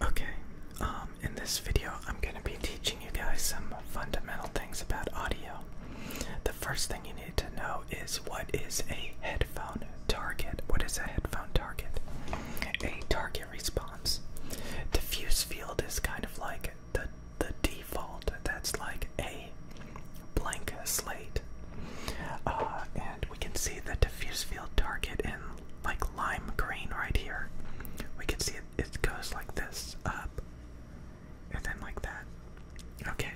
Okay, um, in this video, I'm going to be teaching you guys some fundamental things about audio. The first thing you need to know is what is a headphone target? What is a headphone target? A target response. Diffuse field is kind of like the, the default, that's like a blank slate. Uh, and we can see the diffuse field target in like lime green right here. We can see it, it goes like this up and then like that. Okay,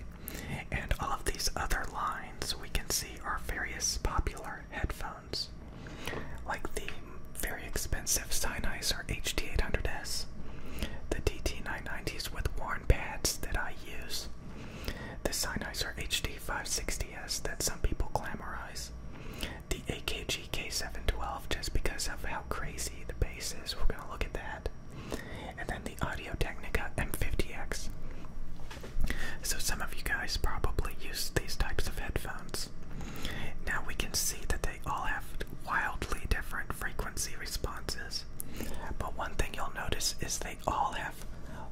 and all of these other lines we can see are various popular headphones, like the very expensive Sennheiser HD 800s the DT990s with worn pads that I use, the Sennheiser HD560S that some people glamorize. The AKG K712 just because of how crazy the bass is. We're going to look at that. And then the Audio Technica M50X. So some of you guys probably use these types of headphones. Now we can see that they all have wildly different frequency responses. But one thing you'll notice is they all have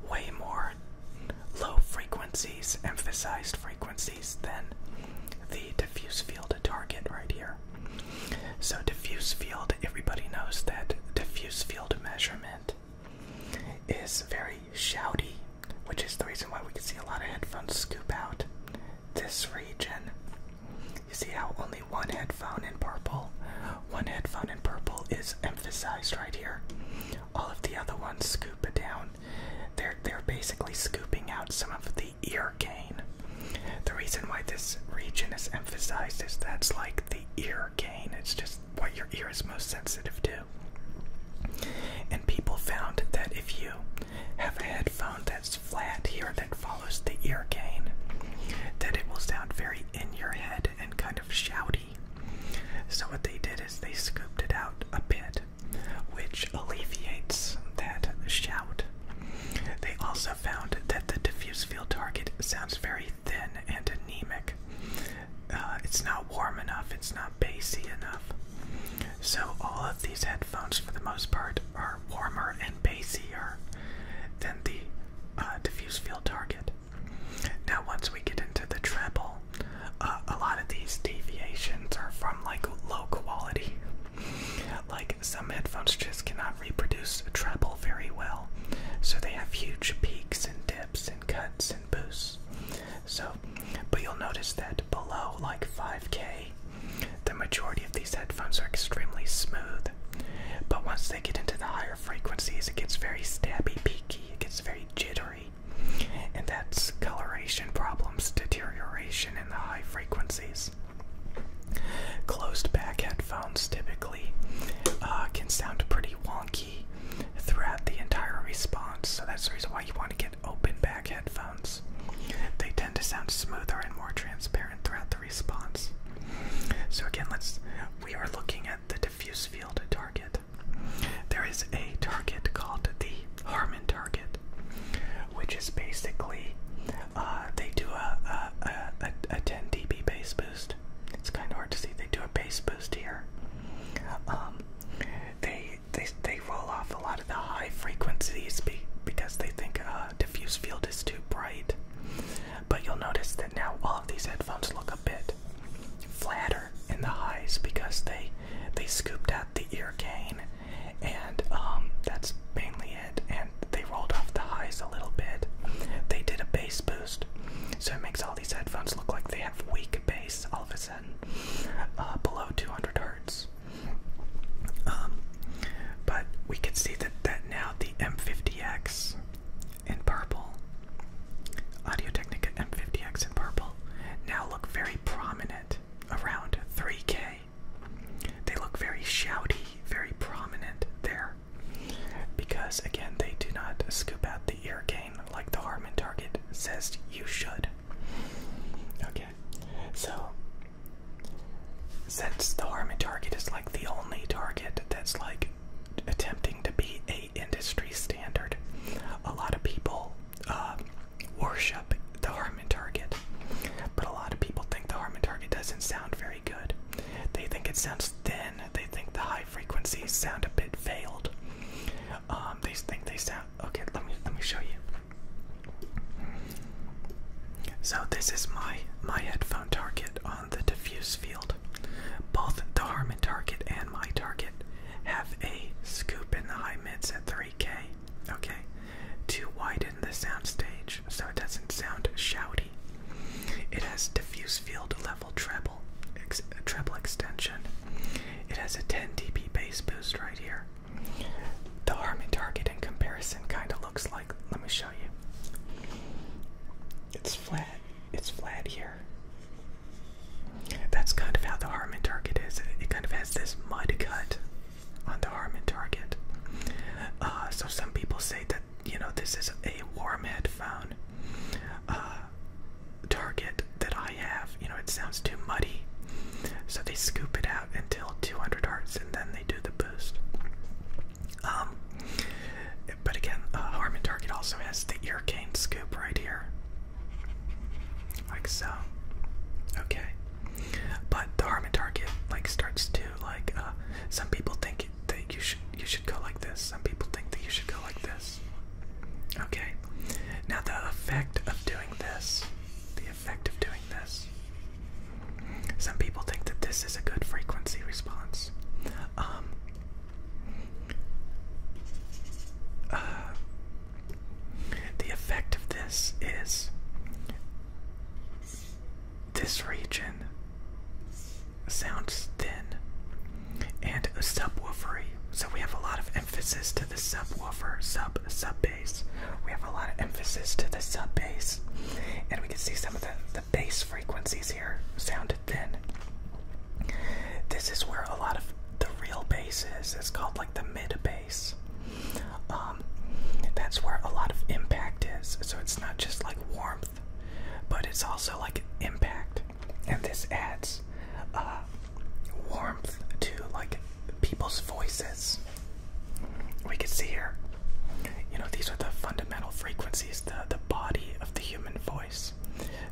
way more low frequencies, emphasized frequencies, then the diffuse field target right here. So, diffuse field, everybody knows that diffuse field measurement is very shouty, which is the reason why we can see a lot of headphones scoop out this region. You see how only one headphone in purple, one headphone in purple is emphasized right here, all of the other ones scoop it down. They're they're basically scooping out some of the ear gain. The reason why this region is emphasized is that's like the ear gain. It's just what your ear is most sensitive to. And people found that if you have a headphone that's flat here that follows the ear gain, that it will sound very in your head and kind of shouty. So, what they did is they scooped it out a bit, which alleviates that shout. They also found that the diffuse field target sounds very thin and anemic. Uh, it's not warm enough, it's not bassy enough. So, all of these headphones, for the most part, are warmer and bassier than the uh, diffuse field target. Now, once we get into the treble, uh, a lot of these deviations are from like low quality. Like some headphones just cannot reproduce treble very well, so they have huge peaks and dips and cuts and boosts. So, but you'll notice that below like 5k, the majority of these headphones are extremely smooth. But once they get into the higher frequencies, it gets very stabby, peaky it gets very jittery, and that's coloration problems, deterioration in the high frequencies. Closed back headphones typically uh, can sound pretty wonky throughout the entire response, so that's the reason why you want to get open back headphones. They tend to sound smoother and more transparent throughout the response. So again, let's we are looking at the diffuse field field target. There is a target called the Harmon target, which is basically uh, they do a, a, a, 10 dB base boost. It's kind of hard to see. They do a base boost here. Um, they they they roll off a lot of the high frequencies because they think a uh, diffuse field is too bright. But you'll notice that now all of these headphones look a bit flatter in the highs because they they scooped out the ear gain, and um, that's mainly it. And they rolled off the highs a little bit. They did a bass boost, so it makes all these headphones look like they have weak bass all of a sudden, uh, below 200 hertz. Um, but we can see that that now the M50X in purple. Audio Technica M50X in purple now look very prominent around 3K. They look very shouty, very prominent there. Because again, they do not scoop out the ear gain like the Harman Target says you should. Okay, so since the Harman Target is like the only target that's like attempting to be a industry standard. A lot of people uh, worship the Harman Target, but a lot of people think the Harman Target doesn't sound very good. They think it sounds thin. They think the high frequencies sound a bit veiled. Um, they think they sound okay. Let me let me show you. So this is my my headphone target on the diffuse field. Both the Harmon target and my target have a scoop in the high mids at 3k, okay, to widen the soundstage so it doesn't sound shouty. It has diffuse field level treble, treble extension. It has a 10 dB bass boost right here. The Harmon target in comparison kind of looks like, let me show you. It's flat. It's flat here. That's kind of how the Harman target is. It kind of has this mud cut on the Harman target. Uh, so some people say that you know this is a warm headphone uh, target that I have. You know it sounds too muddy, so they scoop it out until 200 hertz, and then they do the boost. Um, but again, uh, Harmon Target also has the ear cane scoop right here, like so. Okay, but the Harmon Target like starts to like. Uh, some people think that you should you should go like this. Some people think that you should go like this. Okay. Now the effect of doing this, the effect of doing this some people think that this is a good frequency response. Um, uh, the effect of this is this region sounds thin and subwoofery. So we have a lot of emphasis to the subwoofer, sub sub bass. We have a lot of emphasis to the sub bass, and we can see some of the the bass frequencies here sounded thin. This is where a lot of the real bass is. It's called like the mid bass. Um, that's where a lot of impact is. So it's not just like warmth, but it's also like impact. And this adds uh, warmth to like people's voices. We can see here you know, these are the fundamental frequencies, the the body of the human voice.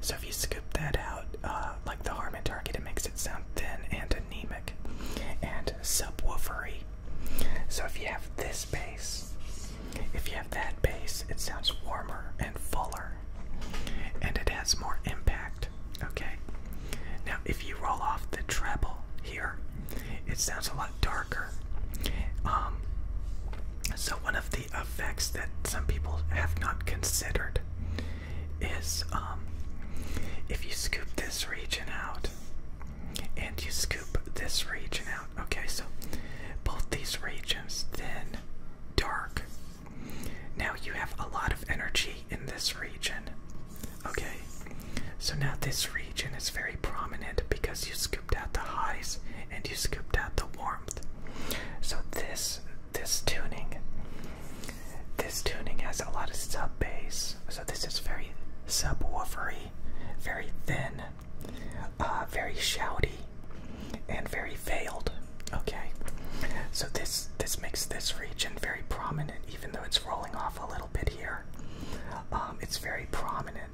So if you scoop that out, uh, like the Harman Target, it makes it sound thin and anemic and subwoofery. So if you have this bass, if you have that bass, it sounds warmer and fuller, and it has more impact. Okay. Now, if you roll off the treble here. It sounds a lot darker. Um, so, one of the effects that some people have not considered is um, if you scoop this region out and you scoop this region out. Okay, so both these regions then dark. Now you have a lot of energy in this region. Okay, so now this region is very prominent because you scooped out the highs and you scooped out the warmth. So this this tuning this tuning has a lot of sub bass. So this is very sub subwoofery, very thin, uh, very shouty, and very veiled. Okay. So this this makes this region very prominent, even though it's rolling off a little bit here. Um, it's very prominent.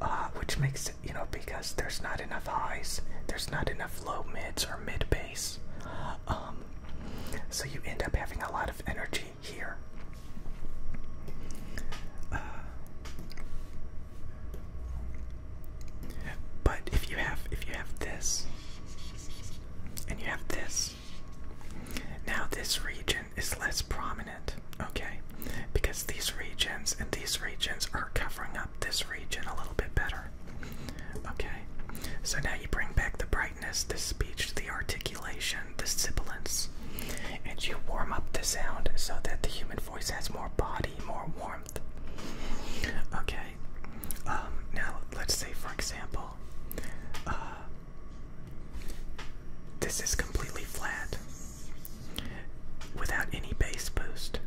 Uh, which makes it, you know, because there's not enough highs, there's not enough low mids or mid bass. Um, so you end up having a lot of energy here. Uh, but if you have if you have this and you have this now, this region is less prominent, okay? Because these regions and these regions are covering up this region a little bit better, okay? So now you bring back the brightness, the speech, the articulation, the sibilance, and you warm up the sound so that the human voice has more body, more warmth, okay? Um, now, let's say, for example, uh, this is completely flat without any bass boost.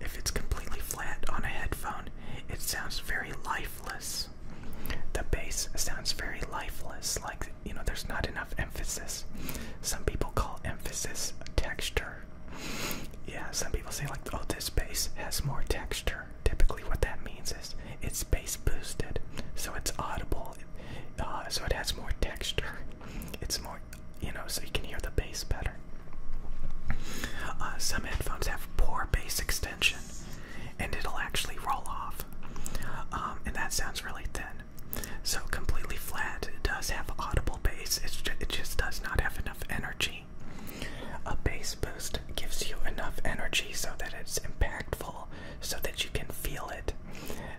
If it's completely flat on a headphone, it sounds very lifeless. The bass sounds very lifeless, like you know, there's not enough emphasis. Some people call emphasis texture. Yeah, some people say, like, oh, this bass has more texture. Typically, what that means is it's bass boosted, so it's audible. Uh, so it has more texture. It's more, you know, so you can hear the bass better. Uh, some headphones have poor bass extension, and it'll actually roll off. Um, and that sounds really thin. So completely flat it does have audible bass. it just does not have enough energy. A bass boost gives you enough energy so that it's impactful so that you can feel it,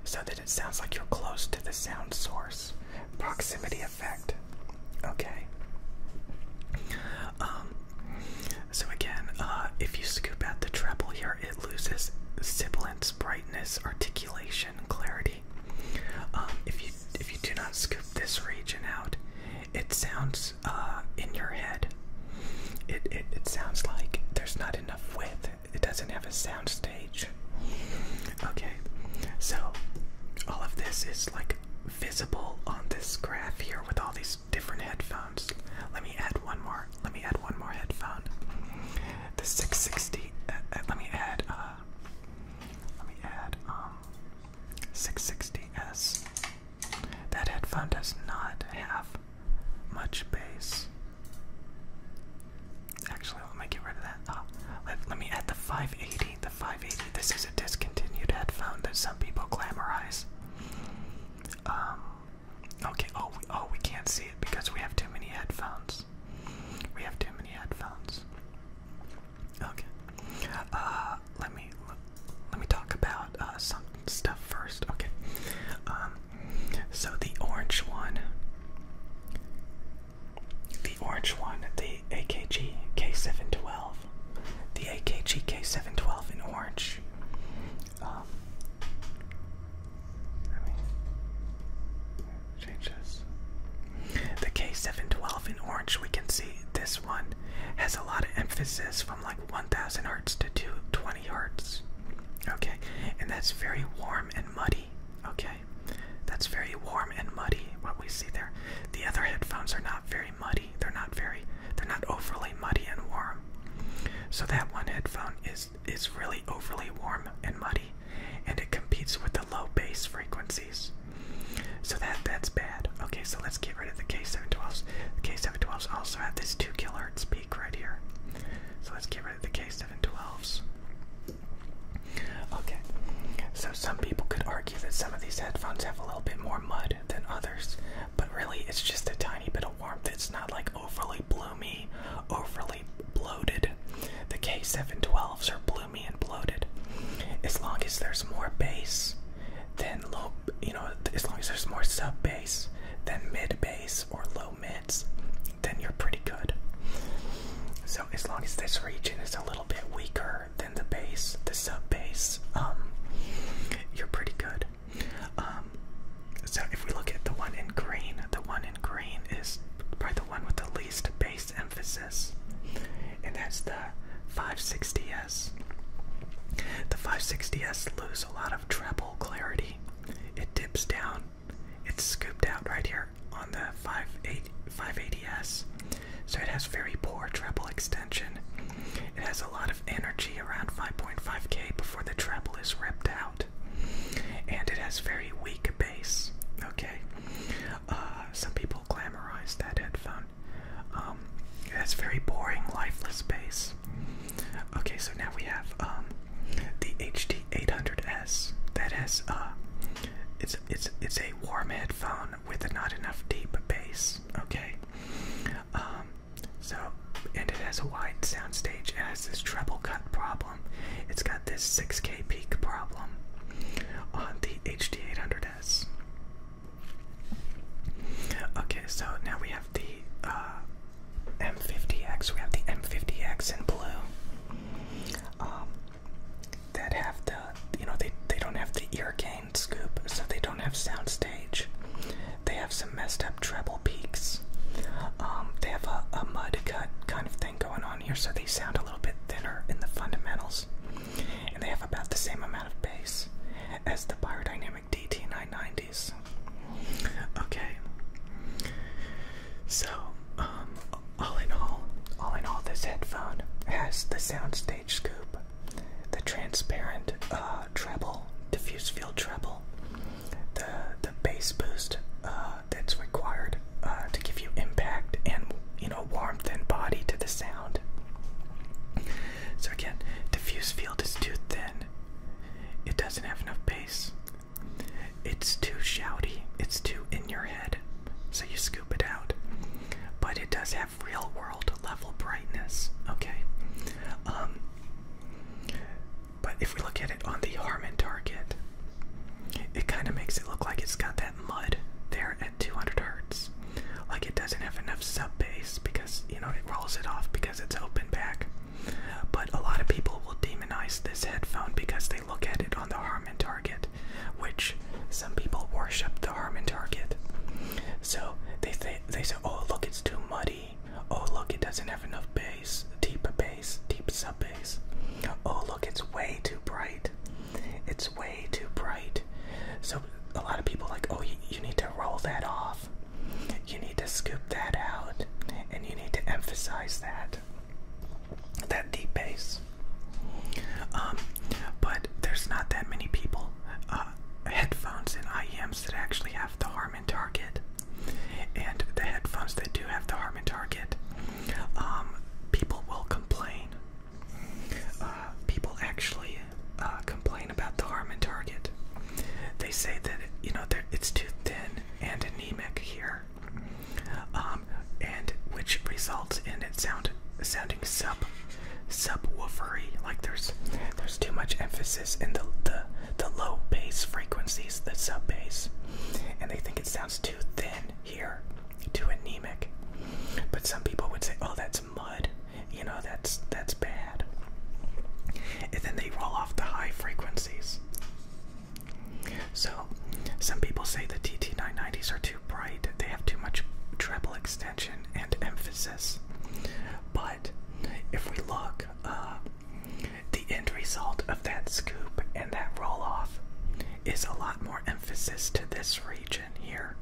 so that it sounds like you're close to the sound source. Proximity effect. Okay. Um, so again, uh, if you scoop out the treble here, it loses sibilance, brightness, articulation, clarity. Um, if you if you do not scoop this region out, it sounds uh, in your head. It, it, it sounds like there's not enough width. It doesn't have a sound stage. Okay, so all of this is like visible on this graph here with all these different headphones. Let me add one more. Let me add one more headphone. The 660. Uh, uh, let me add. let me add um, 660s. That headphone does not have much bass. Actually, let me get rid of that. Oh, let, me add the 580. The 580. This is a discontinued headphone that some people glamorize. Um, okay. Oh. oh. We can't see it because we have too many headphones. We have too many headphones. Okay. Uh, let me let me talk about uh, some stuff first. Okay. Um, so the orange one, the orange one, the AKG K712, the AKG K712 in orange. Um, let me change this. The K712 in orange, we can see this one has a lot of emphasis from like 1000 hertz to 220 hertz. Okay, and that's very warm and muddy. Okay, that's very warm and muddy. What we see there. The other headphones are not very muddy. They're not very. They're not overly muddy and warm. So that one headphone is is really overly warm and muddy, and it competes with the low bass frequencies. So that that's bad. Okay, so let's get rid of the K712s. The K712s also have this 2 kilohertz peak right here. So let's get rid of the K712s. Okay, so some people could argue that some of these headphones have a little bit more mud than others, but really it's just a tiny bit of warmth. It's not like overly bloomy, overly bloated. The K712s are bloomy and bloated. As long as there's more bass then low, you know, as long as there's more sub bass than mid bass or low mids, then you're pretty good. So as long as this region is a little bit weaker than the bass, the sub bass, um, you're pretty good. Um, so if we look at the one in green, the one in green is probably the one with the least bass emphasis, and that's the the 560S. The 560S lose a lot of treble clarity. It dips down. It's scooped out right here on the 580S. So it has very poor treble extension. It has a lot of energy around 5.5k before the treble is ripped out. And it has very weak bass. Okay? Uh, some people glamorize that headphone. Um, it has very boring, lifeless bass. Okay, so now we have um, the HD800S that has a uh, it's it's it's a warm headphone with not enough deep bass. Okay, um, so and it has a wide soundstage. It has this treble cut problem. It's got this 6K peak problem on the HD800S. Okay, so now we have the uh, M50X. We have the M50X in blue. Um, that have the you know they they don't have the ear gain scoop, so they don't have soundstage. They have some messed up treble peaks. Um, they have a mud cut kind of thing going on here, so they sound a little bit thinner in the fundamentals and they have about the same amount of bass as the biodynamic DT990s. Okay, so um, all in all, all in all, this headphone has the soundstage scoop, the transparent uh, treble, diffuse field treble, the the bass boost uh, that's required uh, to give you impact and you know warmth and body to the sound. So again, diffuse field is too thin. It doesn't have enough base. It's too shouty. It's too in your head. So you scoop it out. But it does have real world level brightness. Okay. Um but if we look at it on the Harman target, it kind of makes it look like it's got that mud there 200 hertz. Like it doesn't have enough sub bass because you know it rolls it off because it's open back. But a lot of people will demonize this headphone because they look at it on the Harman Target, which some people worship the Harman Target. So they th they say, oh look, it's too muddy. Oh look, it doesn't have enough bass, deep bass, deep sub bass. Oh look, it's way too bright it's way too bright. So a lot of people like, oh, you, need to roll that off. You need to scoop that out, and you need to emphasize that that deep bass. Um, but there's not that many people, uh, headphones and IEMs that actually have the Harman Target, and the headphones that do have the Harman Target, um, people will complain uh, people actually uh, complain about the Harmon Target. They say that you know it's too thin and anemic here, um, and which results in it sound sounding sub sub woofery. Like there's there's too much emphasis in the the, the low bass frequencies, the sub bass, and they think it sounds too thin here, too anemic. But some people would say, "Oh, that's mud. You know, that's that's bad. And then they roll off the high frequencies. So, some people say the TT990s are too bright. They have too much treble extension and emphasis. But if we look, uh, the end result of that scoop and that roll off is a lot more emphasis to this region here.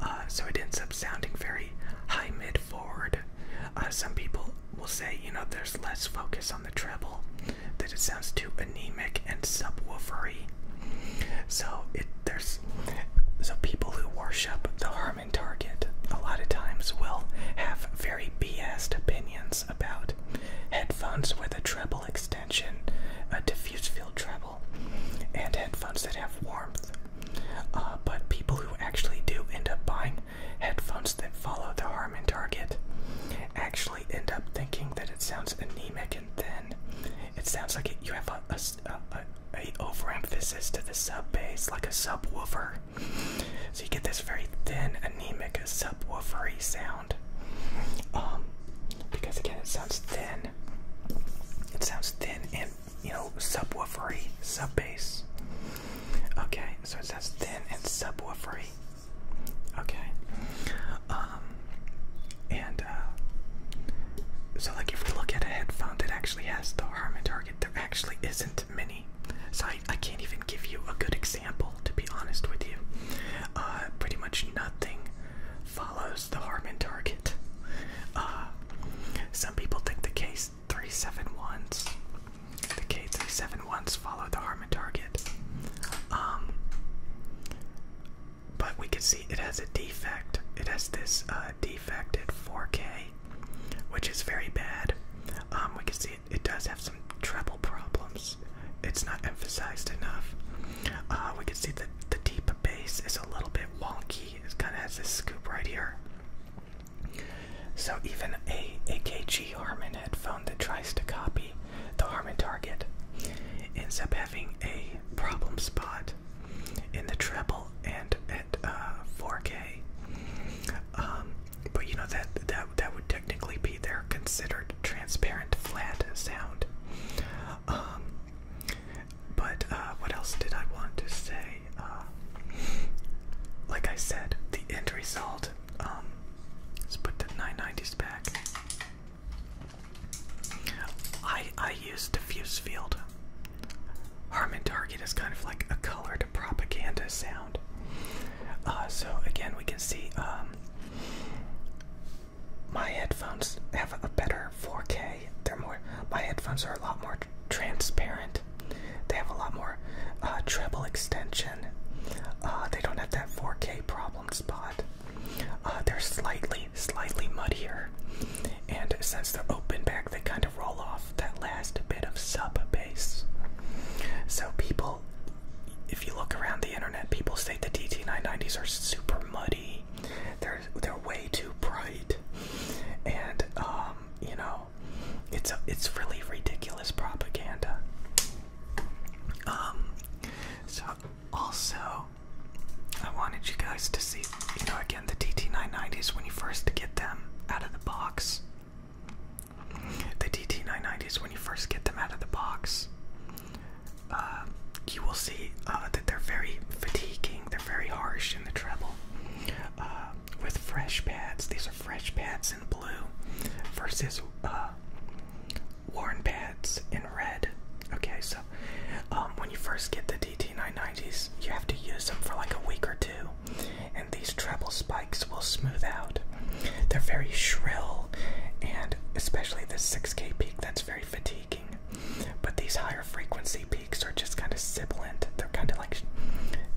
Uh, so it ends up sounding very high mid forward. Uh, some people will say, you know, there's less focus on the treble, that it sounds too anemic and subwoofery. So it there's so people who worship the Harmon target a lot of times will have very biased opinions about headphones with a treble extension, a diffuse field treble and headphones that have warmth. Uh, but people who actually do end up buying headphones that follow the Harman target actually end up thinking that it sounds anemic and thin. It sounds like you have a, a, a, a overemphasis to the sub bass, like a subwoofer. So you get this very thin, anemic, subwoofery sound. Um, because again, it sounds thin. It sounds thin and you know subwoofery, sub bass. Okay, so it sounds thin and subwoofery. Okay. Um, and uh, so like if we look at a headphone that actually has the Harman Target, there actually isn't many. So I, I can't even give you a good example to be honest with you. Uh, pretty much nothing follows the Harmon target. Uh, some people think the K371s, the K371s follow the Harmon target. Um, but we can see it has a defect. It has this defect uh, defected 4K, which is very bad. Um, we can see it does have some treble problems it's not emphasized enough. Uh, we can see that the deep bass is a little bit wonky. It kind of has this scoop right here. So even a AKG Harman headphone that tries to copy the Harman target ends up having a problem spot in the treble and at 4K. Uh, um, but you know that that that would technically be there considered transparent, flat sound. Um, but uh, what else did I want to say? Uh, like I said, the end result. Um, put the 990s back. I I use diffuse field. Harmon Target is kind of like a colored propaganda sound. Uh, so again, we can see um, my headphones have a better 4K. They're more. My headphones are a lot more transparent. They have a lot more uh, treble extension. Uh, they don't have that 4K problem spot. Uh, they're slightly, slightly muddier, and since they're open back, they kind of roll off that last bit of sub bass. So people if you look around the internet, people say the DT990s are super muddy. They're they're way too bright, and um, you know, it's it's really ridiculous propaganda. Um, so also, I wanted you guys to see, you know, again the DT990s when you first get them out of the box. The DT990s when you first get them out of the box. Um, you will see uh, that they're very fatiguing, they're very harsh in the treble. Uh, with fresh pads, these are fresh pads in blue versus uh, worn pads in red. Okay, so um, when you first get the DT990s, you have to use them for like a week or two, and these treble spikes will smooth out they're very shrill, and especially this 6K peak, that's very fatiguing. But these higher frequency peaks are just kind of sibilant. They're kind of like,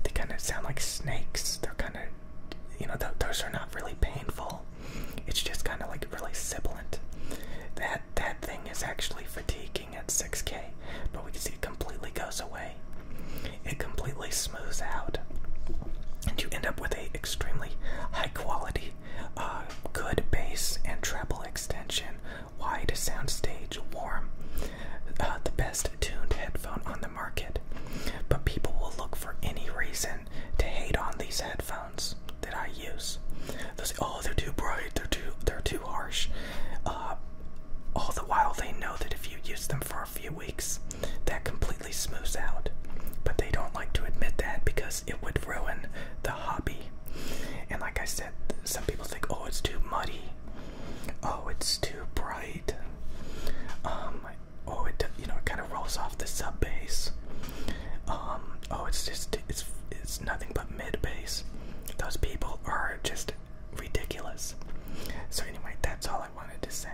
they kind of sound like snakes. They're kind of, you know, those are not really painful. It's just kind of like really sibilant. That that thing is actually fatiguing at 6K, but we can see it completely goes away. It completely smooths out, and you end up with a extremely high quality, uh, good bass and treble extension, wide soundstage, warm, uh, the best tuned headphone on the market. But people will look for any reason to hate on these headphones that I use. They'll say, "Oh, they're too bright. They're too. They're too harsh." Uh, all the while, they know that if you use them for a few weeks, that completely smooths out. But they don't like to admit that because it would ruin the hobby. And like I said, some people think, oh, it's too muddy. Oh, it's too bright. Um, oh, it you know it kind of rolls off the sub bass. Um, oh, it's just it's it's nothing but mid bass. Those people are just ridiculous. So anyway, that's all I wanted to say.